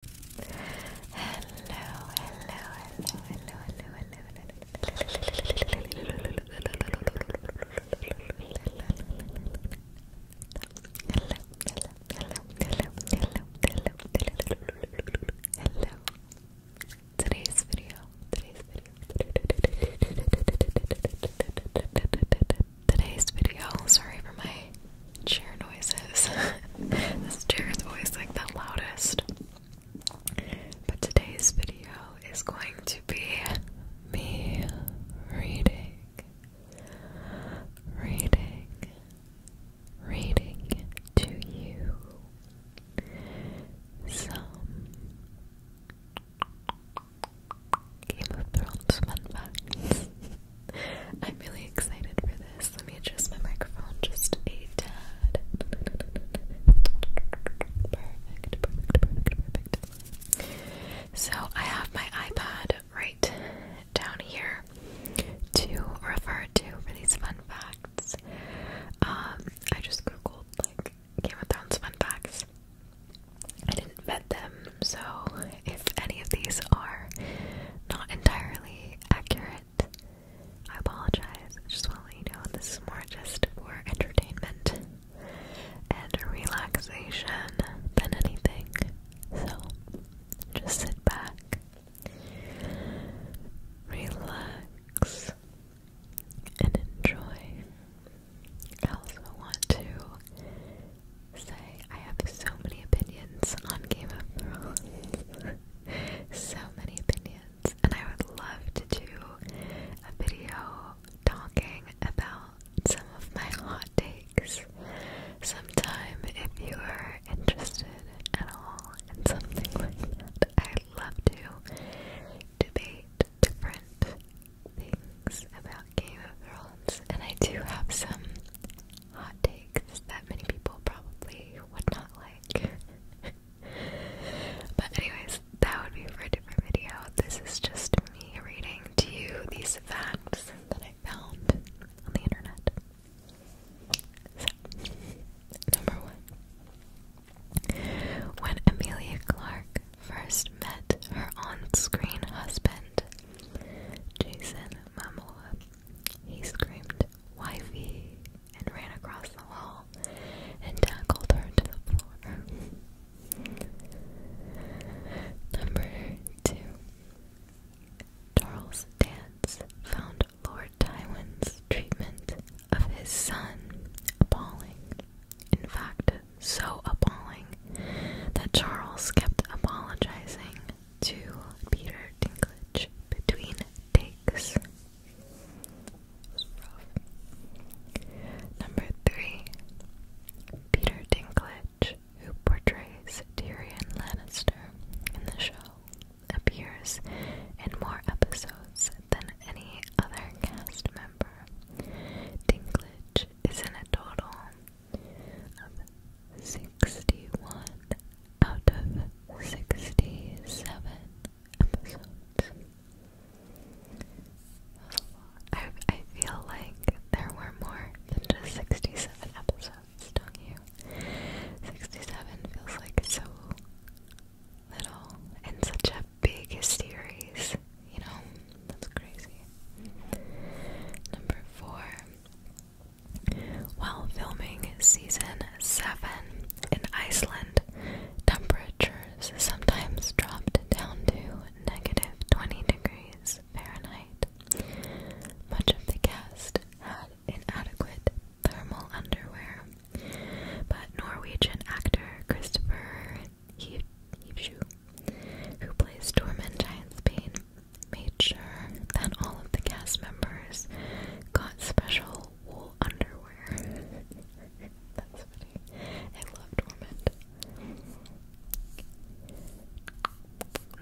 hello. Today's video, today's video, today's video. Sorry for my chair noises. this chair is always like the loudest. But today's video is going to be me reading, reading, reading to you some Game of Thrones fun facts. I'm really excited for this. Let me adjust my microphone just a tad. Perfect, So I have my iPad right down here to refer to for these fun facts. Um, I just googled like Game of Thrones fun facts. I didn't vet them, so if any of these are not entirely accurate. I apologize. I just want to let you know this is more just for entertainment and relaxation than anything. So just sit back, relax, and enjoy. I also want to say I have so many opinions on Game of Thrones. so many opinions. And I would love to do a video talking about some of my hot takes sometime if you are interested at all in something like I love to debate different things about Game of Thrones. And I do have some hot takes that many people probably would not like. but anyways, that would be for a different video. This is just me reading to you these facts that I found on the internet. So, number one. When Amelia Clark first met her on-screen husband, Jason Momoa, he screamed, Wifey, and ran across the hall and tackled her to the floor. Number two. Charles Dance found Lord Tywin's treatment of his son appalling. In fact, so appalling that Charles kept apologizing to Peter Dinklage between takes. Number three, Peter Dinklage, who portrays Tyrion Lannister in the show, appears in more episodes than any other cast member. Dinklage is in a total of 61 out of 67 episodes. I, I feel like there were more than just 67 episodes, don't you? 67 feels like so little and such a big series, you know? That's crazy. Number four, while filming season 7 in Iceland, temperatures sometimes dropped down to negative 20 degrees Fahrenheit. Much of the cast had inadequate thermal underwear, but Norwegian actor Christopher Hivju, who plays Tormund Giant Spain, made sure that all of the cast members got special wool underwear. That's funny. I love Dormant.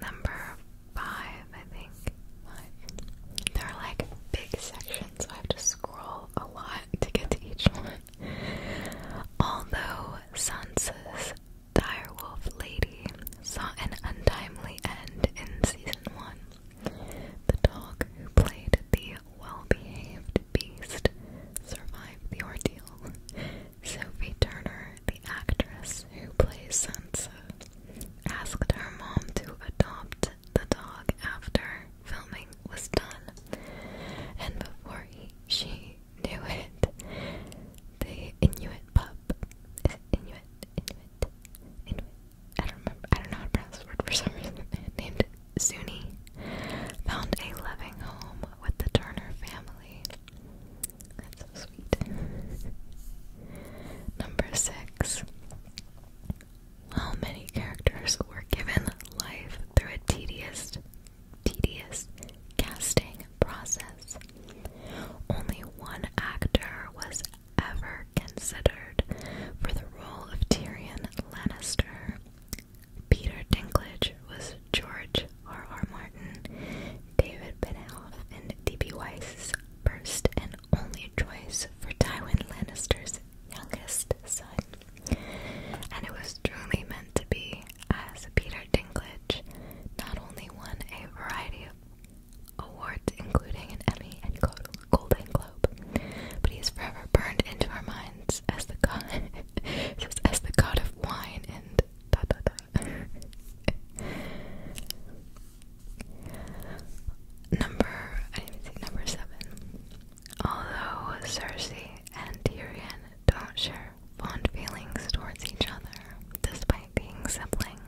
Number five, I think. There are like big sections, so I have to scroll a lot to get to each one. Although Sansa's Direwolf Lady saw an untimely end in season one. The dog who played the well-behaved beast survived the ordeal. Sophie Turner, the actress who plays Sansa, asked her mom to adopt the dog after filming was done, and before she knew it, the Inuit pup, Is it Inuit? Inuit? Inuit? I don't remember. I don't know how to pronounce the word for some reason. Named Zuni found a loving home with the Turner family. That's so sweet. Number six. How many characters were given life through a tedious, tedious casting, filming process. Only one actor was ever considered for the role of Tyrion Lannister. Peter Dinklage was George R. R. Martin, David Benioff, and D.B. Weiss's first and only choice for Tywin Lannister's youngest son. And it was truly meant to be, as Peter Dinklage not only won a variety of awards, including an Emmy and Golden Globe. But he is forever burned into our minds as the god, as the god of wine and da da da. number I didn't see number seven. Although Cersei and Tyrion don't share fond feelings towards each other, despite being siblings,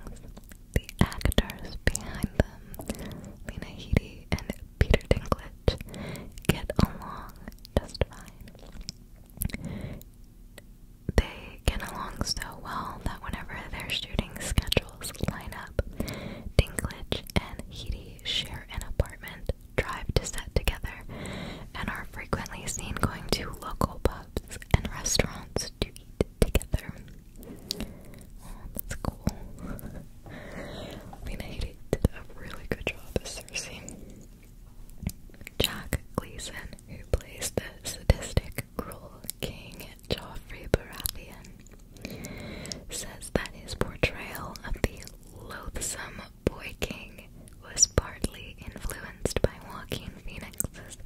the actors behind them, Lena Headey and Peter Dinklage, get along just fine. They get along so well that whenever their shooting schedules line up, Dinklage and Headey share an apartment, drive to set together, and are frequently seen going to local pubs and restaurants to eat together. Oh, that's cool. Lena did a really good job as Cersei. Jack Gleason, who plays the sadistic, cruel king Joffrey Baratheon, says that his portrayal of the loathsome boy king was partly influenced by Joaquin Phoenix's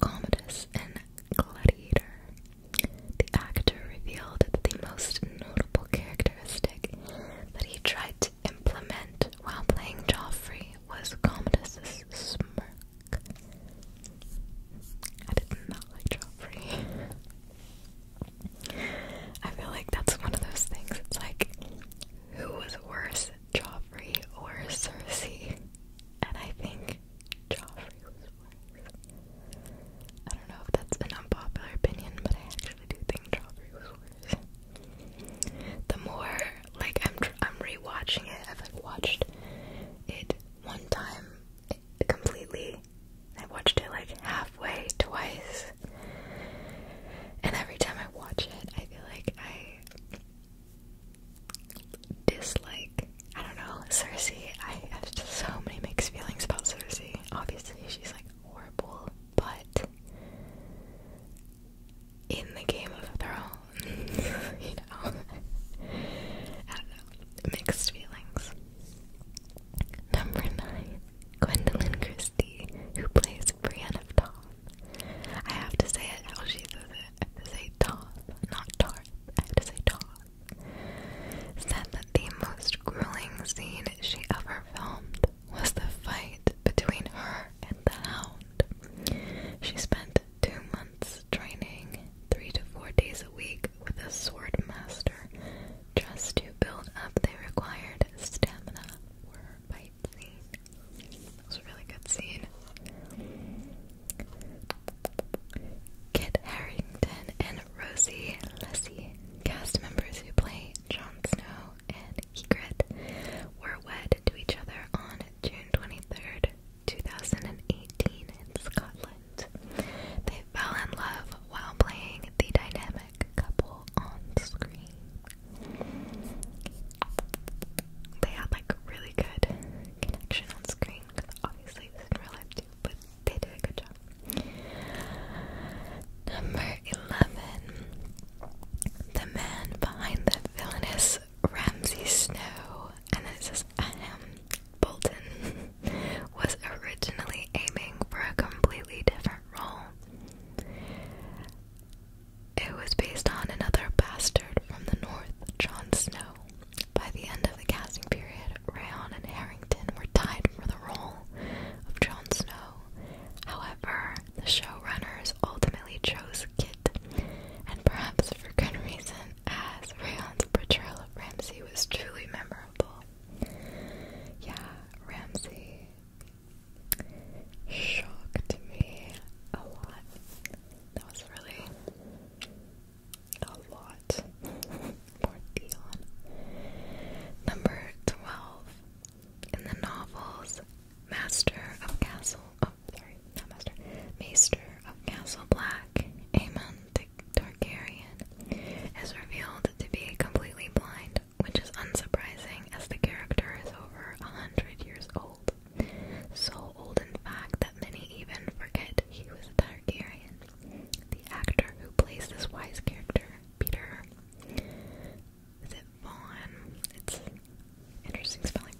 Commodus and Gladiator. The actor revealed that the most notable characteristic that he tried to implement while playing Joffrey was Commodus's smirk. I did not like Joffrey. I feel like that's one of those things. It's like, who was worse Joffrey or Cersei, and I think Joffrey was worse. I don't know if that's an unpopular opinion, but I actually do think Joffrey was worse. The more, like, I'm I'm rewatching it. I've like watched it one time completely. I watched it like halfway, twice, and every time I watch it, I feel like I dislike. I don't know, Cersei. I have so many mixed feelings about Cersei. Obviously, she's like horrible, but in the Game of Thrones, you know, mixed feelings. Number nine, Gwendolyn Christie, who plays Brienne of Dawn. I have to say it how oh, she says it. say Toth, not Tarth. I have to say Toth. Said that the most grueling scene she ever filmed was the fight between her and the hound. She spent two months training, three to four days a week, with a sword master just to build up the required stamina for her fight scene. That was a really good scene. Kit Harrington and Rosie Lessie, cast members who play Jon Snow and Egret, were wed to each other on June 23rd, 2018 in Scotland. They fell in love while playing the dynamic couple on screen they had like really good connection on screen obviously in real life too, but they did a good job. Number 11. The man behind the villainous Ramsay Snow, and then it says Bolton, was originally aiming for a completely different role. It was based on another bastard from the north, Jon Snow. By the end of the casting period, Rayon and Harrington were tied for the role of Jon Snow. However, the showrunners ultimately chose Kit, and perhaps for good reason, as Rayon's portrayal of Ramsay was truly memorable. Yeah, Ramsay shocked me a lot. That was really a lot for Dion. Number 12. In the novels, Master of Castle. Oh, sorry, not Master. Maester of Castle Black, Aemon Targaryen, is revealed to be completely blind, which is unsurprising as the character is over a hundred years old. So old, in fact, that many even forget he was a Targaryen. The actor who plays this wise character, Peter. Is it Vaughn? It's interesting spelling.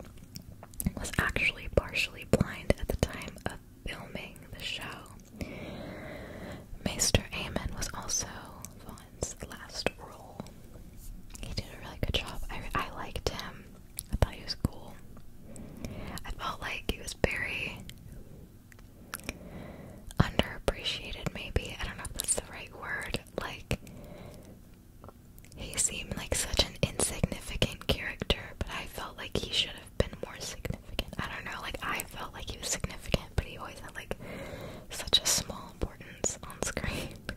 Was actually partially blind at the time of filming the show. Maester Aemon was also Vaughn's last role. He did a really good job. I, I liked him. I thought he was cool. I felt like he was very underappreciated, maybe. I don't know if that's the right word. Like, he seemed like such an insignificant character, but I felt like he should have been more significant. I don't know, like, I felt like he was significant, but he always had, like, such a small importance on screen.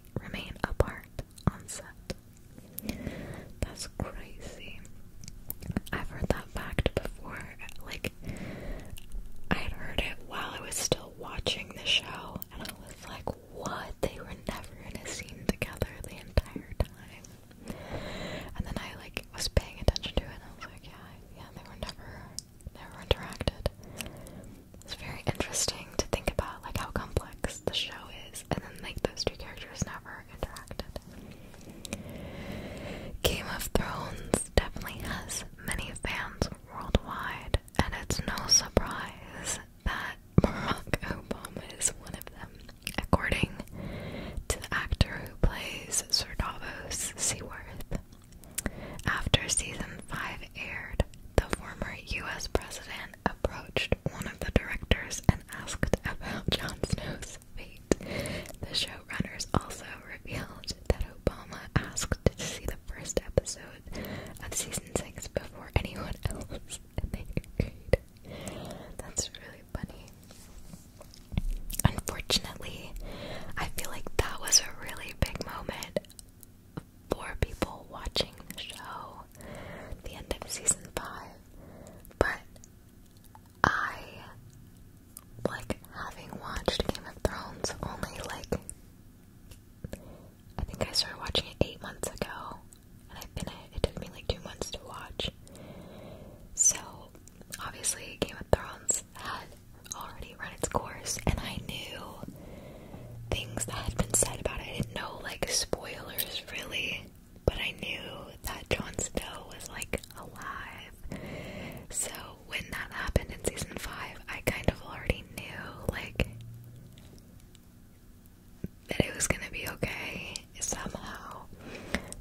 remain, apart on set. That's crazy. I've heard that fact before. Like, I'd heard it while I was still watching the show, and I was like, what? They were never in a scene together the entire time. And then I, like, was paying attention to it, and I was like, yeah, yeah, they were never, never interacted. It's very interesting to think about like how complex the show is and then like those two characters never interacted. Game of Thrones definitely has many fans worldwide and it's no surprise that Barack Obama is one of them. According to the actor who plays Sir Davos Seaworth, after season 5 aired, the former US president approached one of the directors and asked about Jon Snow's fate. The showrunners also revealed that Obama asked to see the first episode of season 6 before anyone else, and they agreed. That's really funny. Unfortunately, I feel like that was a really big moment four people watching the show the end of season five, but I like having watched Game of Thrones only like I think I started watching it eight months ago, and I've been it. It took me like two months to watch. So obviously, Game of Thrones had already run its course, and I knew things that had been said about it. I didn't know like spoilers really, but I knew that Jon Snow was like alive. So when that happened in season five, I kind of already knew like that it was gonna be okay somehow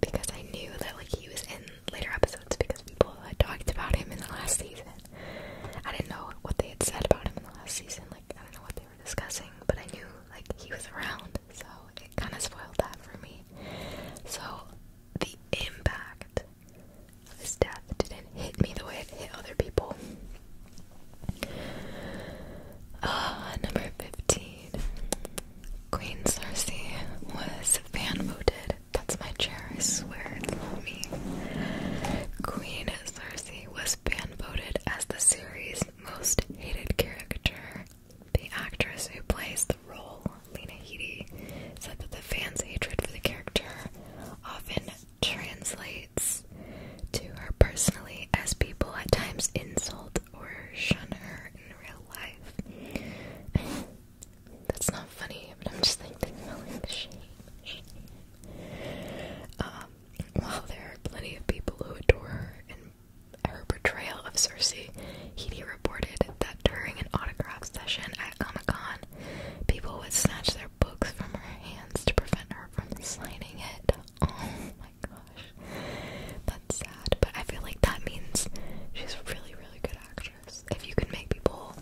because I knew that like he was in later episodes because people had talked about him in the last season. I didn't know what they had said about him in the last season. Like, I don't know what they were discussing, but I knew like he was around, so it kind of spoiled that for me. So the impact of his death didn't hit me the way it hit other people. Uh, number 15. Queen Cersei was fan voted. That's my chair, I swear, it's not me. Queen Cersei was fan voted as the series' most hated character. The actress who plays the role, Lena Headey, said that the fans' hatred for the character often translates to her personally as people at times insult or shun her in real life. That's not funny, but I'm just like um, while there are plenty of people who adore her and her portrayal of Cersei, Heedy reported that during an autograph session at Comic Con, people would snatch their books from her hands to prevent her from signing it. Oh my gosh. That's sad, but I feel like that means she's a really, really good actress. If you can make people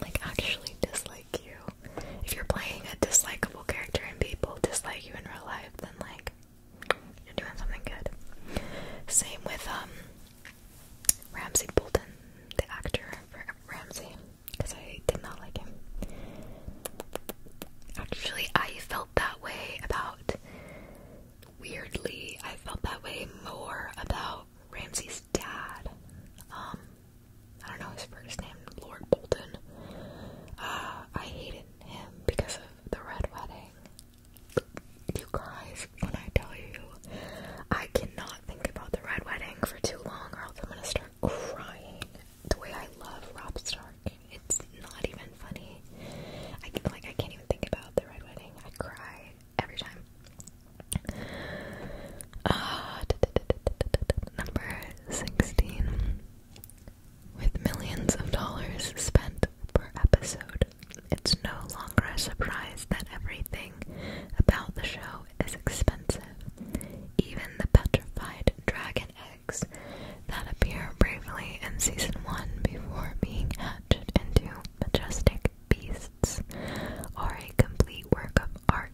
like actually dislike if you're playing a dislikeable character and people dislike you in real life, then like you're doing something good. Same with um Ramsey Bolton, the actor for Ramsey, because I did not like him. Actually, I felt that way about. Weirdly, I felt that way more about Ramsey's dad. Um, I don't know his first name, Lord Bolton. Uh, I hated him because of the Red Wedding. You guys, when I tell you, I cannot think about the Red Wedding for too long, or else I'm gonna start crying. The way I love Rob Stark, it's not even funny. I like I can't even think about the Red Wedding. I cry every time number 16. With millions of dollars spent per episode, it's no longer a surprise that everything about the show is expensive. Even the petrified dragon eggs that appear bravely in season 1 before being hatched into majestic beasts are a complete work of art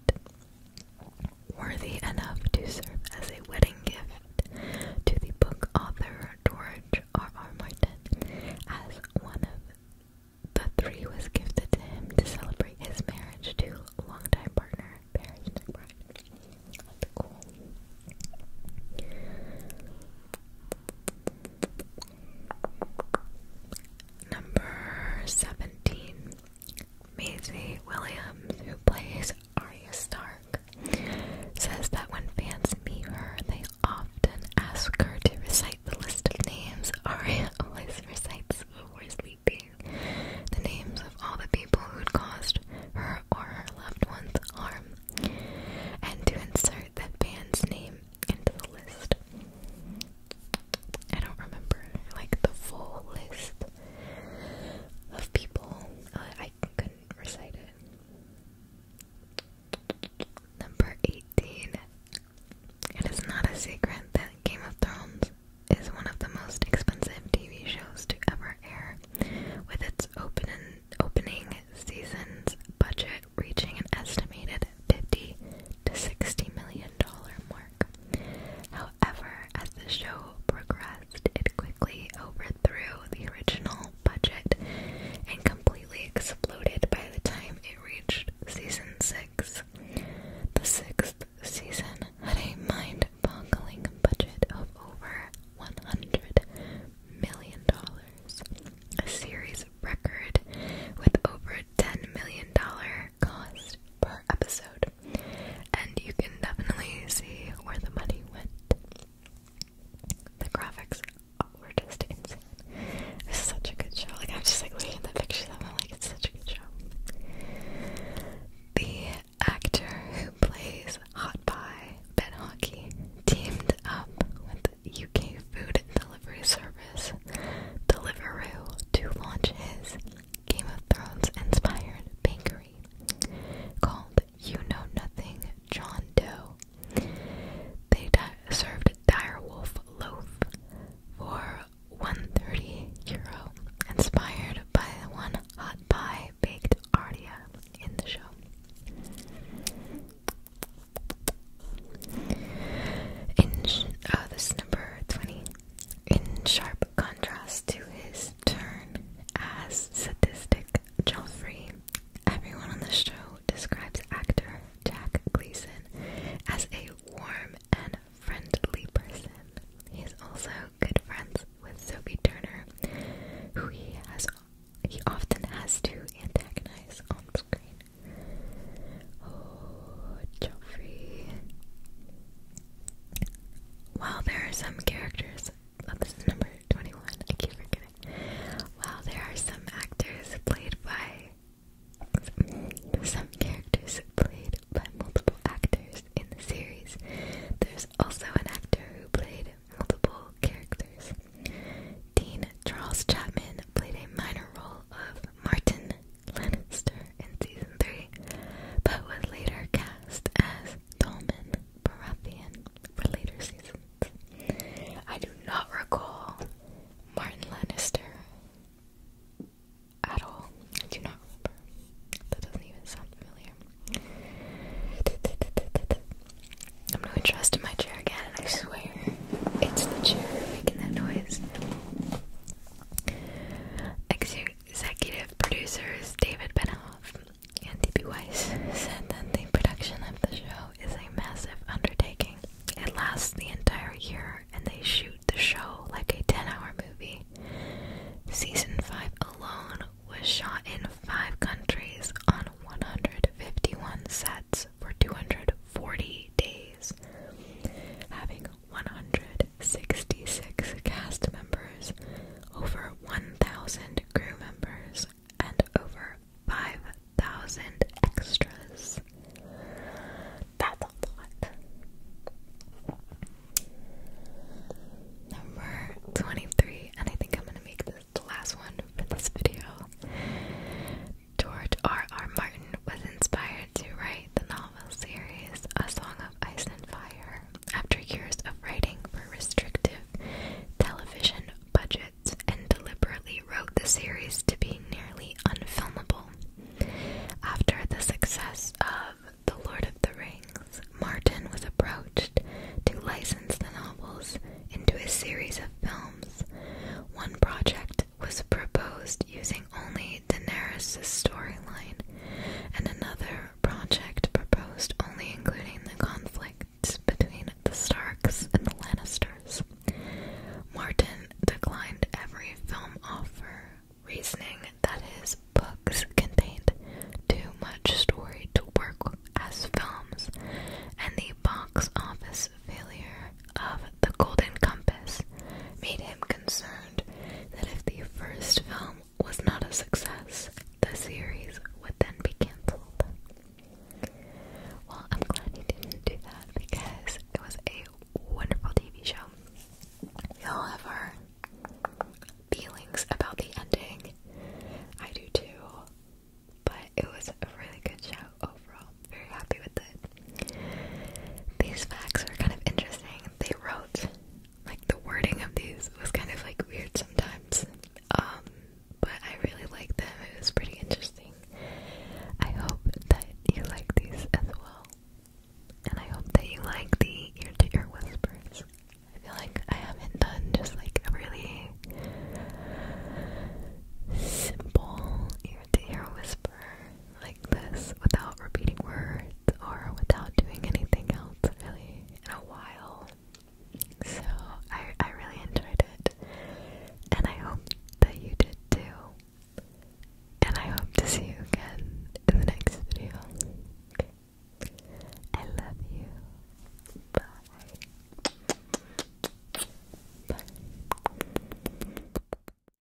worthy enough to serve as a wedding gift to the book author George R. Martin, as one of the three was gifted to him to celebrate his marriage to longtime partner Paris Number seventeen. Maisie Williams, who plays Arya Stark, says that when fans meet her, they often ask her to recite the list of names. Arya always recites before sleeping the names of all the people who'd caused her or her loved ones harm, and to insert that fan's name into the list. I don't remember like the full list of people. Uh, I couldn't recite it. Number 18. It is not a secret that Game of Thrones is one of the most expensive TV shows to ever air, with its open opening season's budget reaching an estimated 50 to 60 million dollar mark. However, as the show progressed, it quickly overthrew the original budget and completely exploded by the time it reached season 6. The sixth season had a mind boggling budget of over $100 million, a series record with over $10 million cost per episode. And you can definitely see where the money went. The graphics are just insane. This is such a good show. Like, I'm just like looking at the pictures of it, like, it's such a good show. The actor who plays Hot Pie Ben Hockey teamed up with UK food delivery service Deliveroo to launch his Game of Thrones inspired bakery called You Know Nothing John Doe. They served a direwolf loaf for 130 euro, inspired by the one hot pie baked Ardia in the show. In, uh, this number 20 in sharp contrast to his turn as sadistic Joffrey. Everyone on the show describes actor Jack Gleason as a warm and friendly person. He is also good friends with Sophie Turner, who he has he often has to antagonize on screen. Oh, Joffrey. While there are some characters, this is number 21, I keep forgetting. While there are some actors played by some characters played by multiple actors in the series. There's also an actor who played multiple characters. Dean Charles Chapman played a minor role of Martin Lannister in season 3, but was later cast as Dolman Baratheon for later seasons. I do not recall Martin Lannister at all. I do not remember. That doesn't even sound familiar. I'm going to trust in my chair again, I swear. It's the chair making that noise. Executive producers David Benioff and D.B. Weiss said that the production of the show is a massive undertaking. It lasts the entire year, and they shoot the show like a 10 hour movie. Season 5 alone was shot in 5 countries on 151 sets for 240 days, having 166 cast members, over 1,000 crew members, and over 5,000 extras. That's a lot. Number 23, and I think I'm going to make this the last one for this video. George R. Martin was inspired to write the novel series, A Song of Ice and Fire, after years of writing for restrictive television budgets, and deliberately wrote the series to be nearly unfilmable. After the success of The Lord of the Rings, Martin was approached to license the novels into a series of films. One project was proposed using only Daenerys' storyline, and another project proposed only including the conflict between the Starks and the Lannisters. Martin declined every film offer, reasoning that his books contained too much story to work as films, and the box office failure of The Golden Compass made him concerned that if the first film was not a success, the series would then be cancelled. Well, I'm glad he didn't do that because it was a wonderful TV show. you feelings about the ending. I do too. But it was a really good show overall. Very happy with it. These facts are kind of interesting. They wrote, like, the wording of these was kind of like weird sometimes, um, but I really liked them. It was pretty interesting. I hope that you like these as well, and I hope that you like the ear to ear whispers. I feel like I haven't done just like a really simple ear to ear whisper like this without repeating words or without doing anything else really in a while. So I I really enjoyed it. And I hope that you did too. And I hope to see you again in the next video. I love you. Bye. Bye.